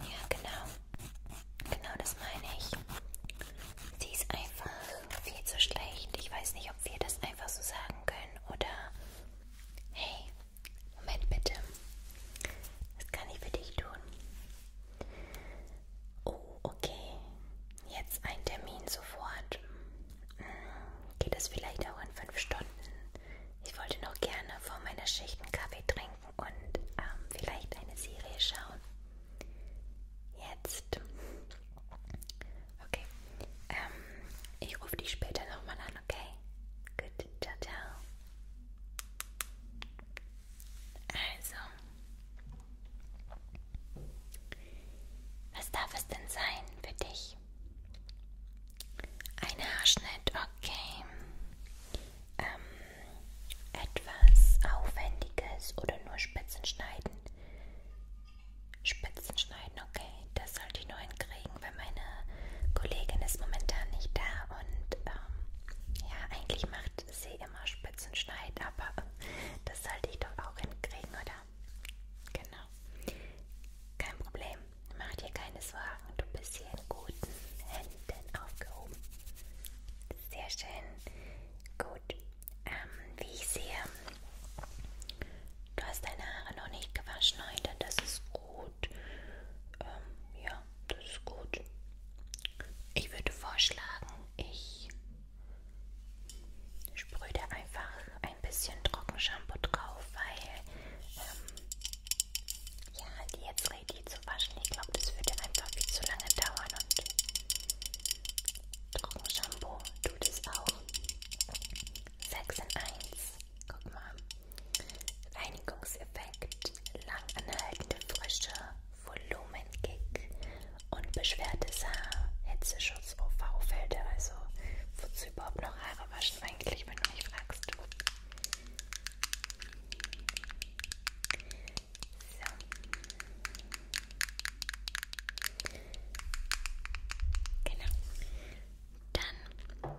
Ja, genau. Genau das meine ich. Sie ist einfach viel zu schlecht. Ich weiß nicht, ob wir das einfach so sagen können oder. Hey, Moment bitte. Was kann ich für dich tun? Oh, okay. Jetzt ein Termin sofort. Hm, geht es vielleicht auch in fünf Stunden? Ich wollte noch gerne vor meiner Schicht einen Kaffee trinken und ähm, vielleicht eine Serie schauen. Jetzt. Okay. Ähm, ich rufe dich später nochmal an, okay? Gut, ciao, ciao. Also. Was darf es denn sein für dich? ich. Ein Haarschnitt, okay. Ähm, etwas Aufwendiges oder nur Spitzen schneiden? Spitzen schneiden, okay. Das sollte ich nur hinkriegen, weil meine Kollegin ist momentan nicht da und ähm, ja, eigentlich macht sie immer Spitzen schneiden, aber äh, das sollte ich doch auch hinkriegen, oder? Genau. Kein Problem mach dir keine Sorgen, du bist hier in guten Händen aufgehoben. Sehr schön. Gut. Ähm, wie ich sehe, du hast deine Haare noch nicht gewaschen heute. Das ist gut. Ähm, ja, das ist gut. Ich würde vorschlagen, ich sprühe dir einfach ein ein bisschen Trockenshampoo drauf, weil ähm, ja, die jetzt ready zu waschen, ich glaube, das würde einfach viel zu lange dauern und Trockenshampoo tut es auch. 6 in 1, guck mal. Reinigungseffekt, langanhaltende Frische, Volumenkick, unbeschwertes Haar, Hitzeschutz, UV-Filter, also wozu überhaupt noch Haare waschen? überrascht eigentlich, wenn du mich fragst. So. Genau. Dann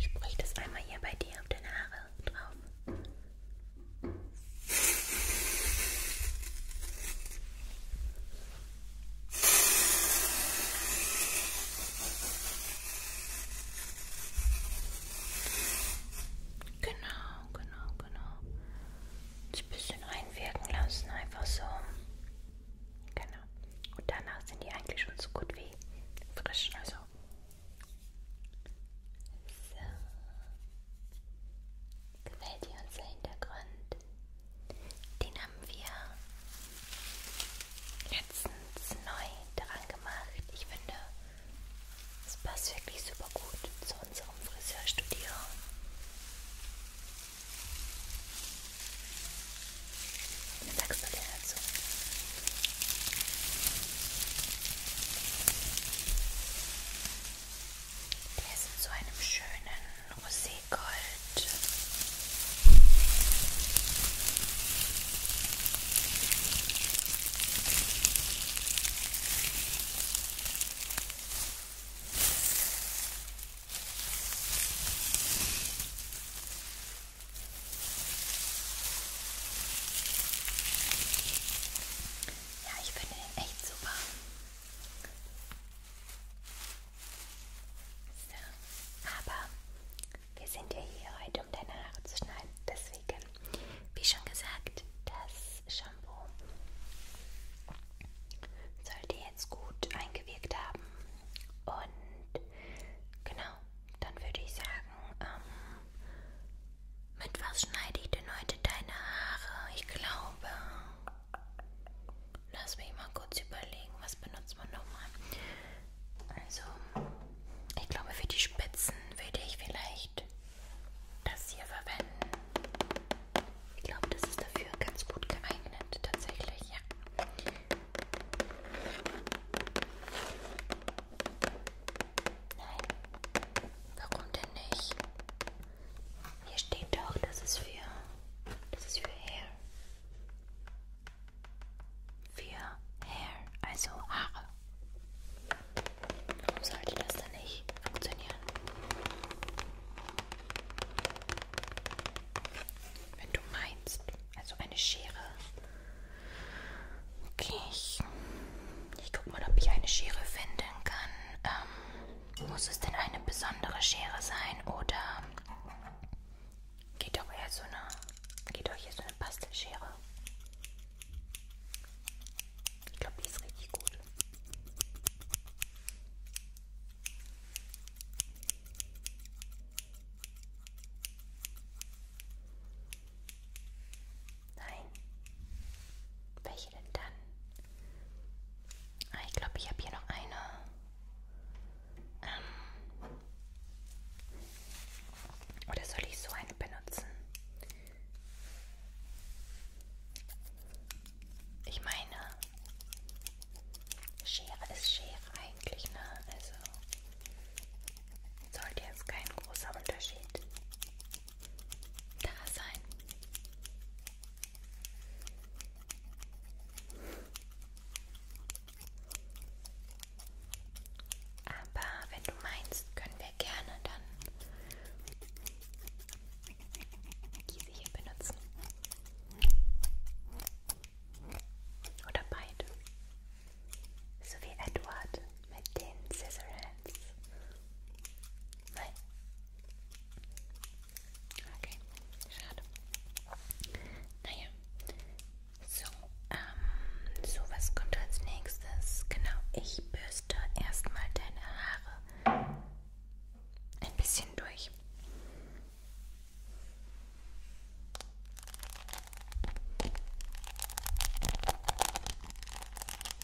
sprich das einmal hier bei dir auf deine Haare drauf. Genau, genau, genau. Und ein bisschen einwirken lassen, einfach so. Genau. Und danach sind die eigentlich schon so gut wie frisch. Also. So. Gefällt dir unser Hintergrund? Den haben wir letztens neu daran gemacht. Ich finde, es passt wirklich super gut zu unserem Friseurstudio. Was sagst du denn dazu? Der ist in so einem schönen Rosé Gold. Ja, ich finde den echt super. So, aber wir sind ja hier heute, um deine Haare zu schneiden. Deswegen, wie schon gesagt, das Shampoo sollte jetzt gut eingewirkt haben. Und genau, dann würde ich sagen, ähm, mit was schneide ich denn heute deine Haare? Ich glaube, Lass mich mal kurz überlegen, was benutzt man nochmal? Also, ich glaube, für die Spitzen würde ich vielleicht das hier verwenden. Ich glaube, das ist dafür ganz gut geeignet, tatsächlich, ja. Nein, warum denn nicht? Hier steht doch, das ist für, das ist für Hair. Für Hair, also Haare. Warum sollte das dann nicht funktionieren? Wenn du meinst, also eine Schere. Okay, ich, ich guck mal, ob ich eine Schere finden kann. Ähm, muss es denn eine besondere Schere sein oder geht doch eher so eine, geht doch hier so eine Bastelschere? Ich glaube, die ist richtig gut. Nein. Welche denn dann? Ah, ich glaube, ich habe hier noch eine. Ähm. Oder soll ich so eine benutzen? Ich meine, Schere ist Schere eigentlich, ne? Also sollte jetzt kein großer Unterschied da sein. Aber wenn du meinst, können wir gerne dann diese hier benutzen. Oder beide. So wie Edward mit den Scissor Hands. Nein. Okay, schade. Naja. So, ähm, so was kommt als nächstes? Genau, ich bürste erstmal deine Haare ein bisschen durch.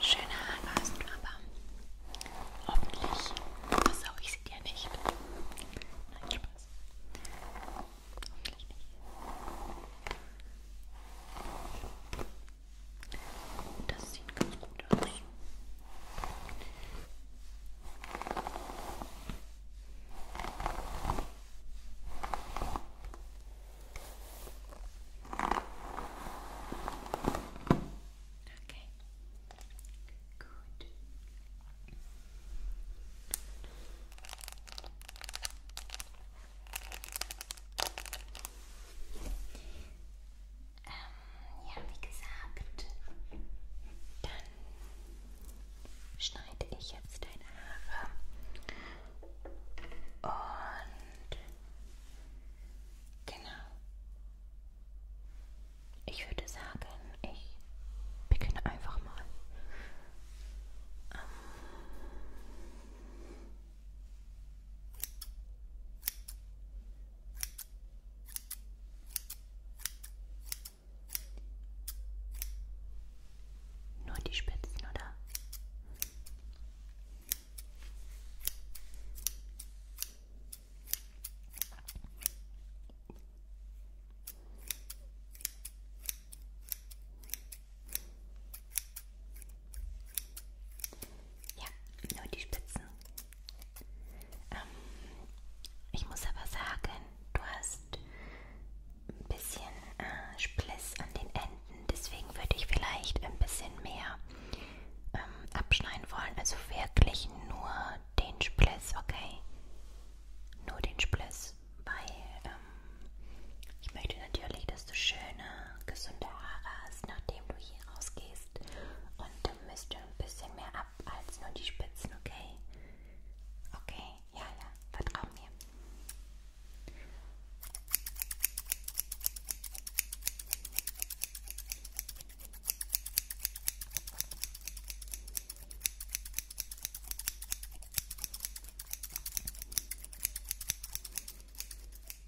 Schöne Haare hast du aber. Hoffentlich versau ich sie dir nicht. Nein, Spaß. Hoffentlich nicht. Das sieht ganz gut aus. Okay. Gut. Ähm, ja, wie gesagt, dann schneide ich jetzt deine Haare und genau. Ich würde sagen, ich beginne einfach mal. Ähm, nur die Spitzen, oder? Ja, nur die Spitzen. Ähm, ich muss aber sagen, du hast ein bisschen äh, Spliss an den Enden, deswegen würde ich vielleicht ein bisschen mehr ähm, abschneiden wollen. Also wirklich nur den Spliss, okay? Nur den Spliss, weil ähm, ich möchte natürlich, dass du schöne gesunde Haare hast, nachdem du hier rausgehst. Und du misst ein bisschen mehr ab als nur die Spitzen, okay? Okay, ja, ja, vertrau mir.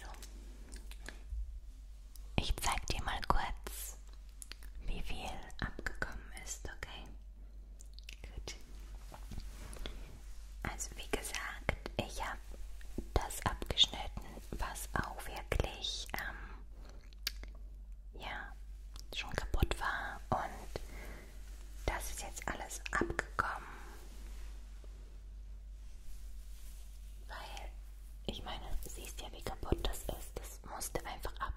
So. Ich zeig dir mal kurz, wie viel abgekommen ist, okay? Gut. Also wie gesagt, ich habe das abgeschnitten, was auch wirklich ähm, ja schon kaputt war und das ist jetzt alles abgekommen. Weil, ich meine, siehst ja, wie kaputt das ist. Das musste einfach ab.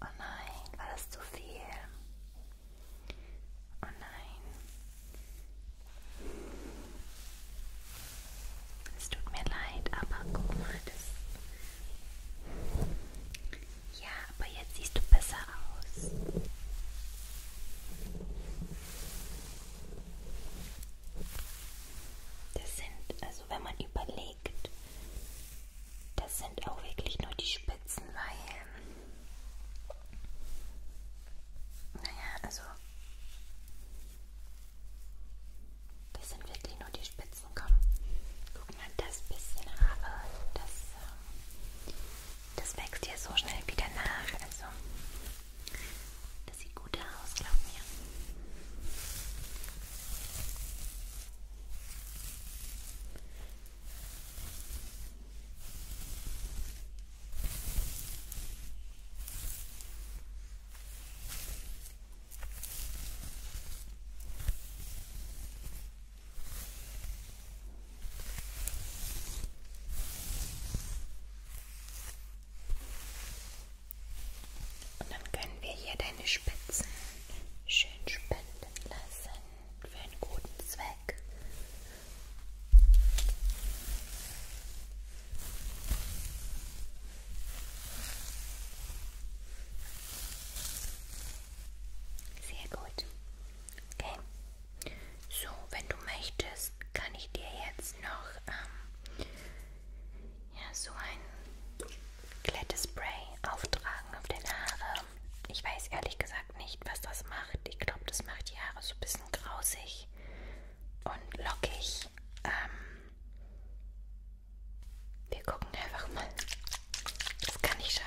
Oh nein, war das zu viel? Oh nein. Es tut mir leid, aber guck mal, das ja, aber jetzt siehst du besser aus. Das sind, also wenn man überlegt, das sind auch wirklich nur die Spitzen, weil, naja, also, das sind wirklich nur die Spitzen, komm, guck mal, das bisschen Haare, äh, das das wächst ja so schnell wieder nach. Also, das sieht gut aus, glaub mir. Und dann können wir hier deine Spitzen schön spenden lassen für einen guten Zweck. Und sehr gut. Okay. So, wenn du möchtest, kann ich dir jetzt noch ähm, ja, so ein Glättespray auftragen auf deine Haare. Ich weiß ehrlich gesagt nicht, was das macht. Ich glaube, das macht die Haare so ein bisschen grausig und lockig. Ähm, wir gucken einfach mal. Das kann nicht schaden.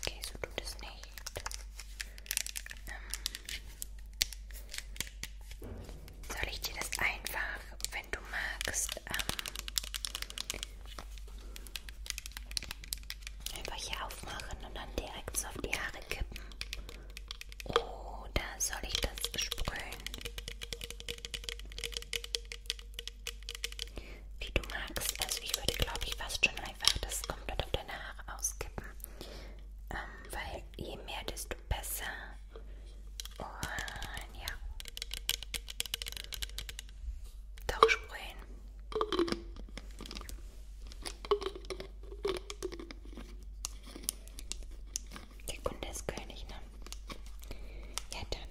Okay, so tut es nicht. Ähm, soll ich dir das einfach, wenn du magst, ähm, einfach hier aufmachen und dann direkt so auf die Haare kippen? Oder soll ich das sprühen? Wie du magst. Also ich würde, glaube ich, fast schon einfach das komplett auf deine Haare auskippen. Ähm, weil je mehr, desto besser. Und ja. Doch sprühen. Der Kunde ist König, ne? Ja, dann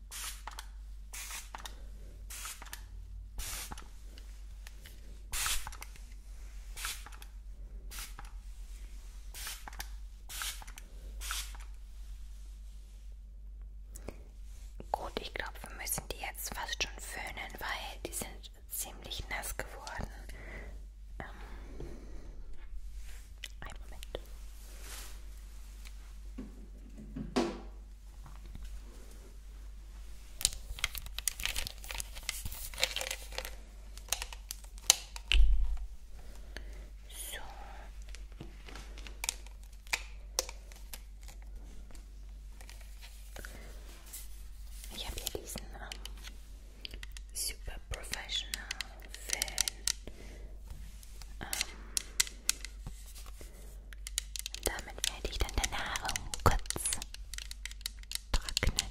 Gut, ich glaube, wir müssen die jetzt fast schon föhnen, weil die sind ziemlich nass geworden. Ähm I love it. So ich habe hier diesen super professional Fan um, Und damit werde ich dann deine Haare kurz trocknen.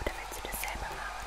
Oder willst du das selber machen?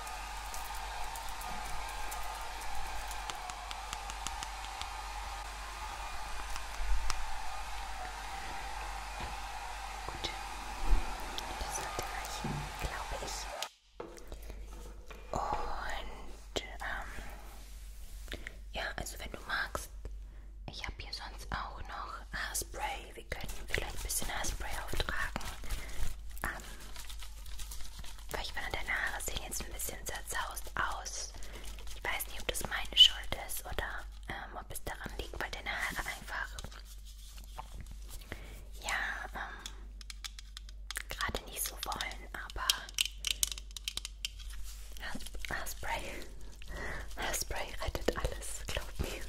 Gut, das sollte reichen, glaube ich. Und ähm, ja, also wenn du magst, ich habe hier sonst auch noch Haarspray. Wir können vielleicht ein bisschen Haarspray auftragen. Aber weil ich finde, deine Haare sehen jetzt ein bisschen zerzaust aus. Ich weiß nicht, ob das meine Schuld ist oder ähm, ob es daran liegt, weil deine Haare einfach ja ähm, gerade nicht so wollen, aber Haarspray, Haarspray rettet alles, glaub mir.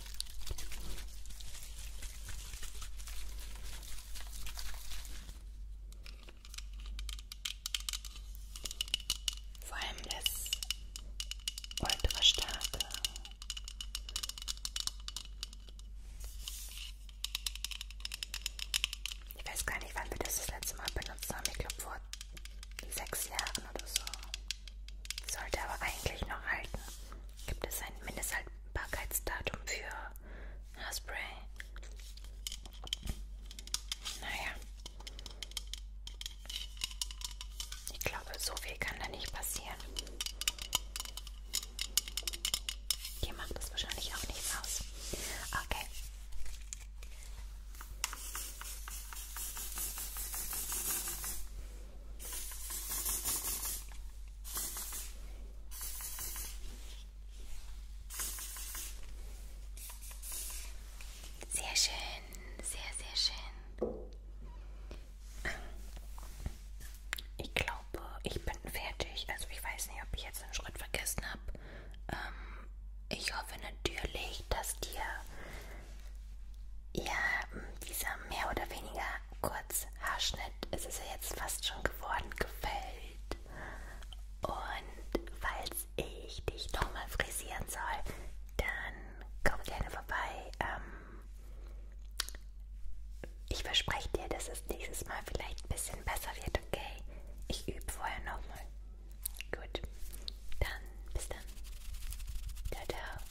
Vor allem das ultra starke. Ich weiß gar nicht, wann wir das das letzte Mal benutzt haben. Ich glaube vor sechs Jahren oder so. Sollte aber eigentlich noch halten. Gibt es ein Mindesthaltbarkeitsdatum? Verfügbarkeitsdatum für Haarspray. Naja. Ich glaube, so viel kann da nicht passieren. Dir macht das wahrscheinlich auch nichts aus. Okay. Sehr schön, sehr, sehr schön. Ich glaube, ich bin fertig. Also ich weiß nicht, ob ich jetzt einen Schritt vergessen habe. Ähm, ich hoffe natürlich, dass dir ja, dieser mehr oder weniger kurz Haarschnitt ist es ja jetzt fast schon geworden, gefällt. Und falls ich dich nochmal frisieren soll, dann komm gerne vorbei. Ähm, ich verspreche dir, dass es nächstes Mal vielleicht ein bisschen besser wird, okay? Ich übe vorher nochmal. Gut, dann bis dann. Ciao, ciao.